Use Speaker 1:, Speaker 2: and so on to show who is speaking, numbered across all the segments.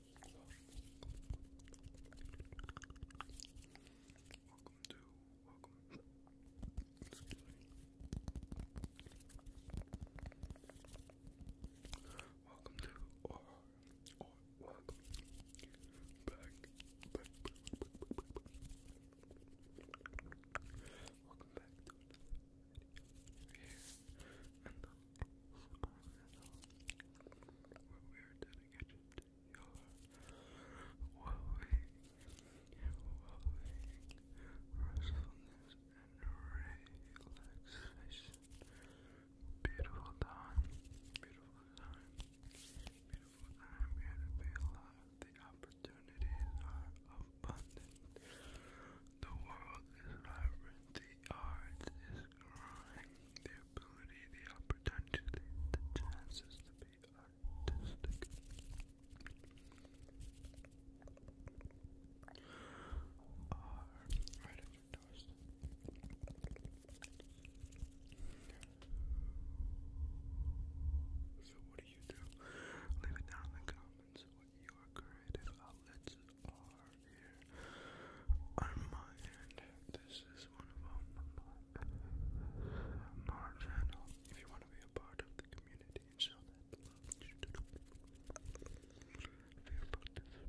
Speaker 1: Welcome to, welcome, excuse me. Welcome to, or, or, welcome back, back, back, back, back, back. Welcome back to another and the we are dedicated to your well-being, well-being, restfulness, and relaxation. Beautiful time, beautiful time, beautiful time here to be alive. The opportunities are abundant. The world is vibrant, the art is describe the ability, the opportunity, the chances to be artistic. Are right at your doorstep. So what do you do? Leave it down in the comments what your creative outlets are here on my end. This is one of them. Our channel. If you want to be a part of the community show that feel free to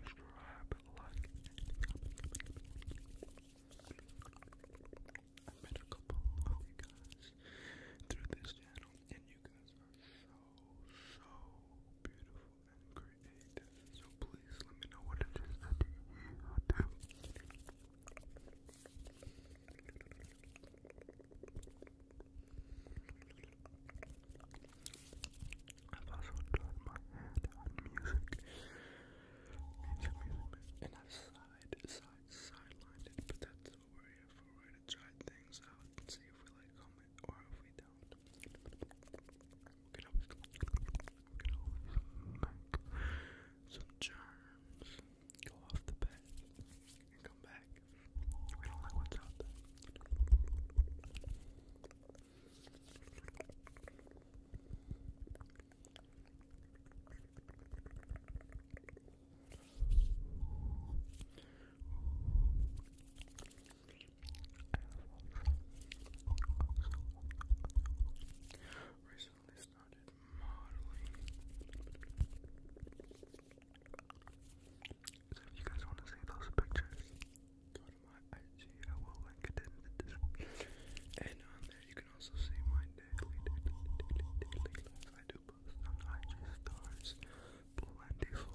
Speaker 1: subscribe, like, I met a couple of you guys through this channel, and you guys are so, so beautiful and So please let me know what it is I've also tried my hand on music. Music, music, music. And side, side, sidelined but that's what we're here to try things out and see if we like them or if we don't. We can always, we can always some germs, go off the bed, and come back. We don't like what's out there. Recently started modeling. So if you guys want to see those pictures, go to my IG. I will link it in the description. And on there, you can also see my daily, daily, daily, daily I do post on IG stars, plentiful.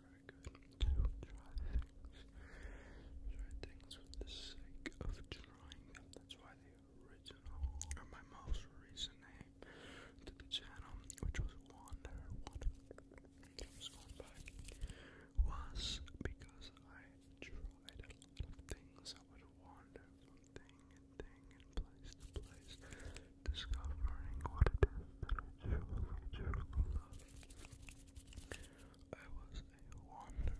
Speaker 1: very good to try things. Try things for the sake of trying That's why the original, or my most recent name to the channel, which was Wander, was because I tried a lot of things. I would wander from thing and thing and place to place discovering what it is that truly, love. I was a wanderer. And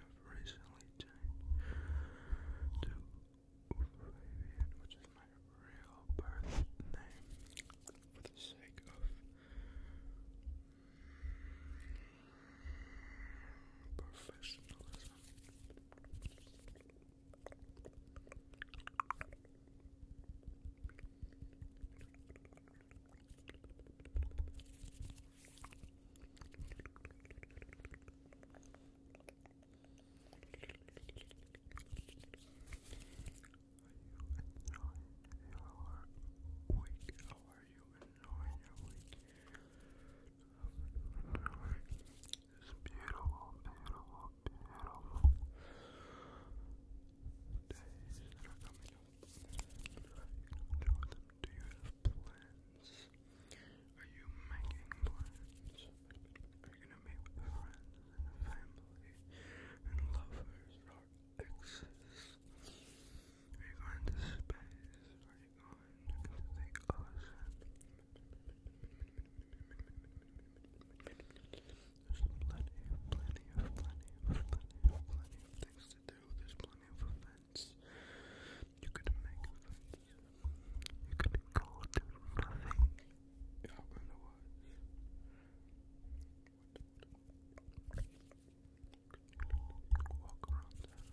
Speaker 1: I've recently changed to Fabian, which is my real birth name, for the sake of Professionalism. Are you enjoying your week? How are you enjoying your week? It's beautiful, beautiful, beautiful days that are coming up. Do you have plans? Are you making plans? Are you gonna meet friends and family and lovers or exes? Are you going to space? you plenty of, plenty of, plenty of things to do. There's plenty of events. You could make events. You could go do nothing. Yeah, Walk around town.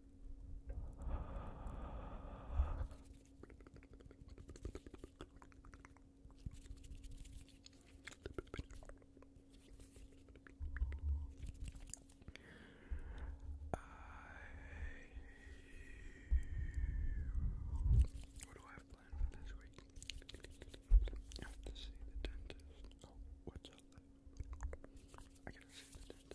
Speaker 1: What do I have planned for this week? have to see the dentist. Oh, what's up? I gotta see the dentist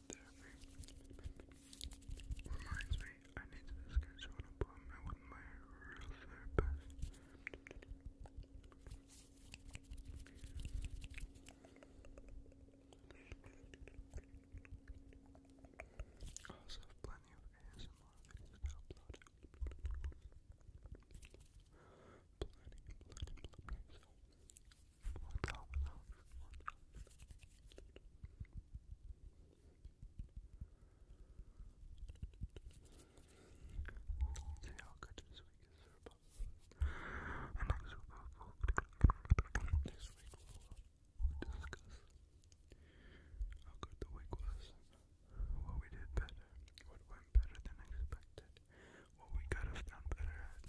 Speaker 1: group therapy. Reminds me, I need to schedule an appointment with my real therapist. also plenty of ASMR videos to upload. Plenty, plenty, see how good this week is And next we'll, next week we'll discuss how good the week was, what we did better, what went better than expected, what we could have done better at,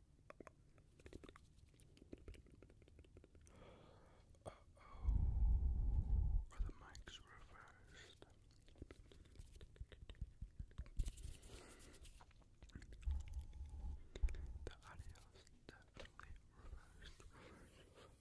Speaker 1: Uh oh, are the mics reversed? The audio's definitely reversed.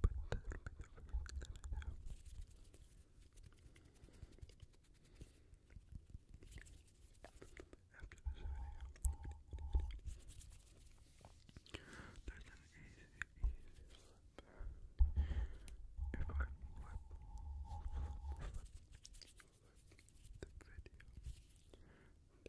Speaker 1: But that'll be the first that I do. After this video, there's an easy, easy flip. If I flip, flip, flip, flip the video,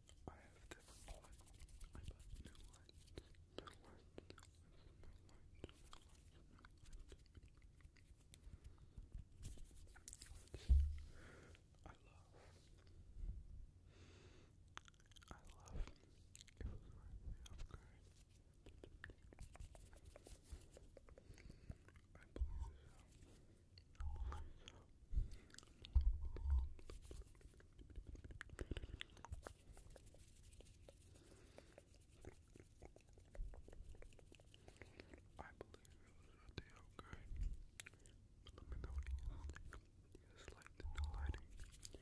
Speaker 1: I have different lights. I bought new lights. New lights. New lights. New lights. New lights. New lights. I love. I love. It was right way off guard. I believe so. I believe so. I believe it was a deal good. let me know what you think. Do like the lighting? Do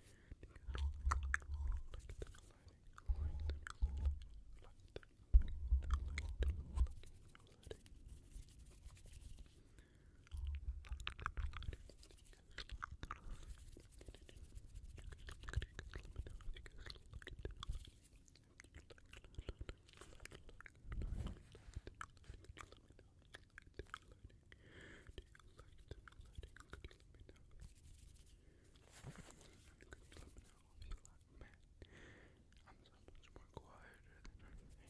Speaker 1: like the new lighting? Like the new lighting? Like the new lighting? Like the lighting? I'm so much more quieter than I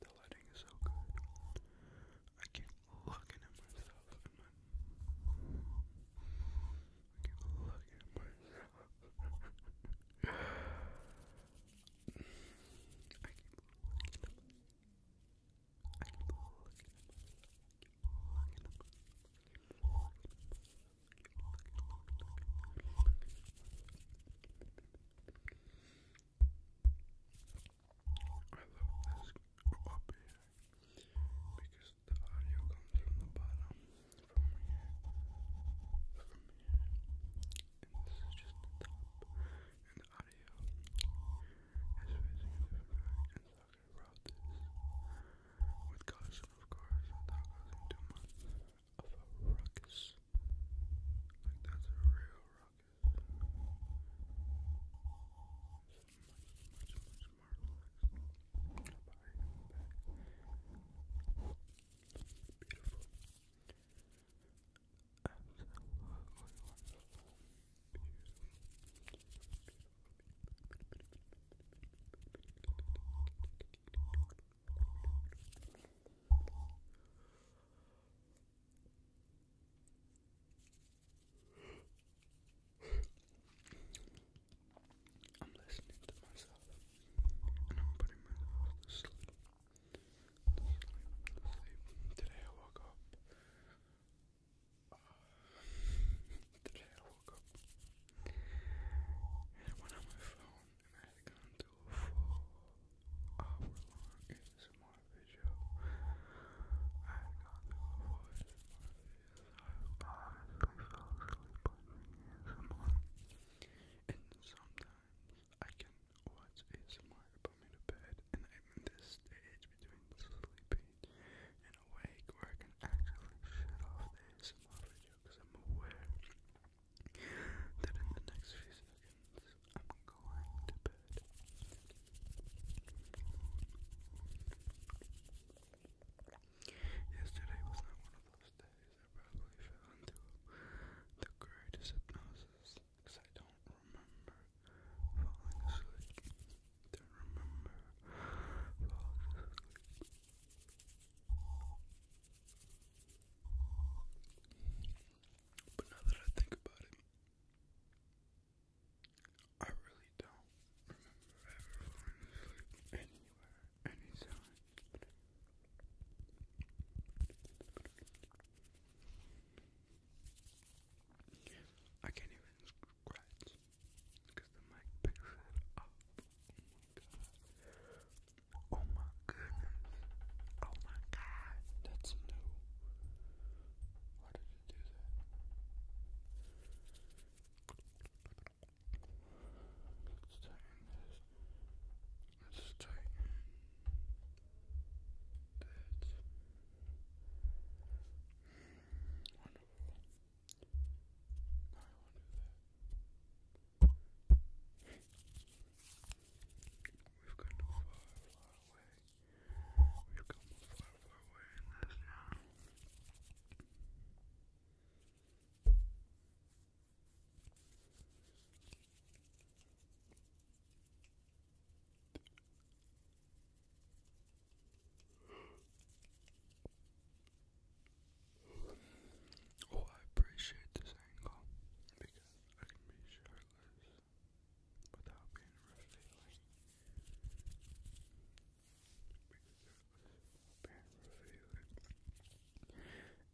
Speaker 1: The lighting is so good. I keep looking at myself I keep looking at myself. I keep looking I keep looking I keep looking I love this up here because the audio comes from the bottom, from here, from here, and this is just the top, and the audio is facing so I could route this with caution, of course, without causing too much of a ruckus. Like that's a real rocket. Beautiful. I'm listening to myself and I'm putting myself to sleep. Today I woke up. today I woke up I went on my phone and I had to full hour long ASMR video. I had gone through ASMR video, so I honestly fell asleep And sometimes I can watch ASMR put me to bed, and I'm in this stage between sleeping and awake where I can actually shut off ASMR video I'm aware that in the next few seconds I'm going to bed. Yesterday was not one of those days. I probably fell into the greatest hypnosis because I don't remember falling asleep. Don't remember falling asleep. But now that I think about it, I really don't remember ever falling anywhere, anytime. I can't even scratch because the mic picks it up. Oh Oh my goodness. Oh my god. That's new. Why did it do that? Let's tighten this. Let's tighten
Speaker 2: that. Wonderful. Now I will do that. We've come far, far away. We've come far, far away in now. Oh, I appreciate this angle because I can be sure without being revealing.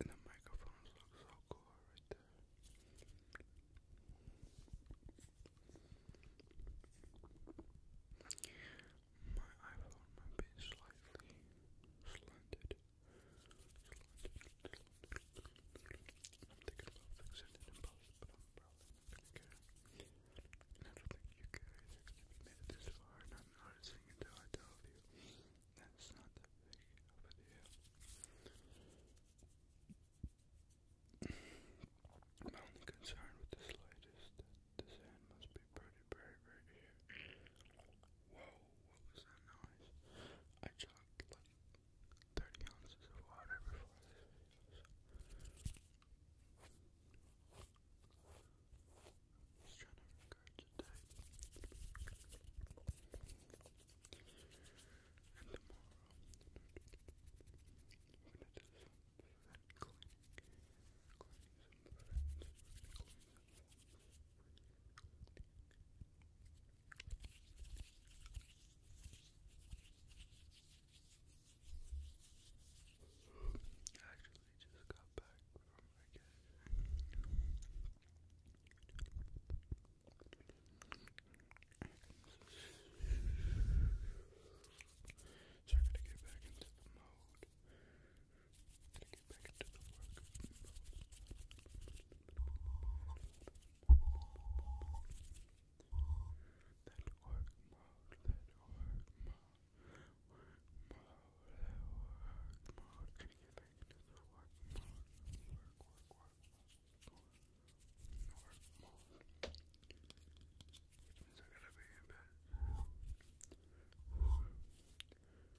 Speaker 2: And the microphones look so cool right there. My iPhone might be slightly slanted i don't think you care either, because made it this far not noticing until I tell you, that's not that big of a deal. My only concern with this light the sand must be pretty, very, very here. Whoa what was that noise? I chugged like 30 ounces of water before this Just trying to regurgitate. And tomorrow, we're gonna do some vet actually just got back from vacation. So I gotta mode to get back to the work. That work mode, that work mode, work that work mode. Can you get back to the work Work, work, work, work, work mode. Which means to be in bed.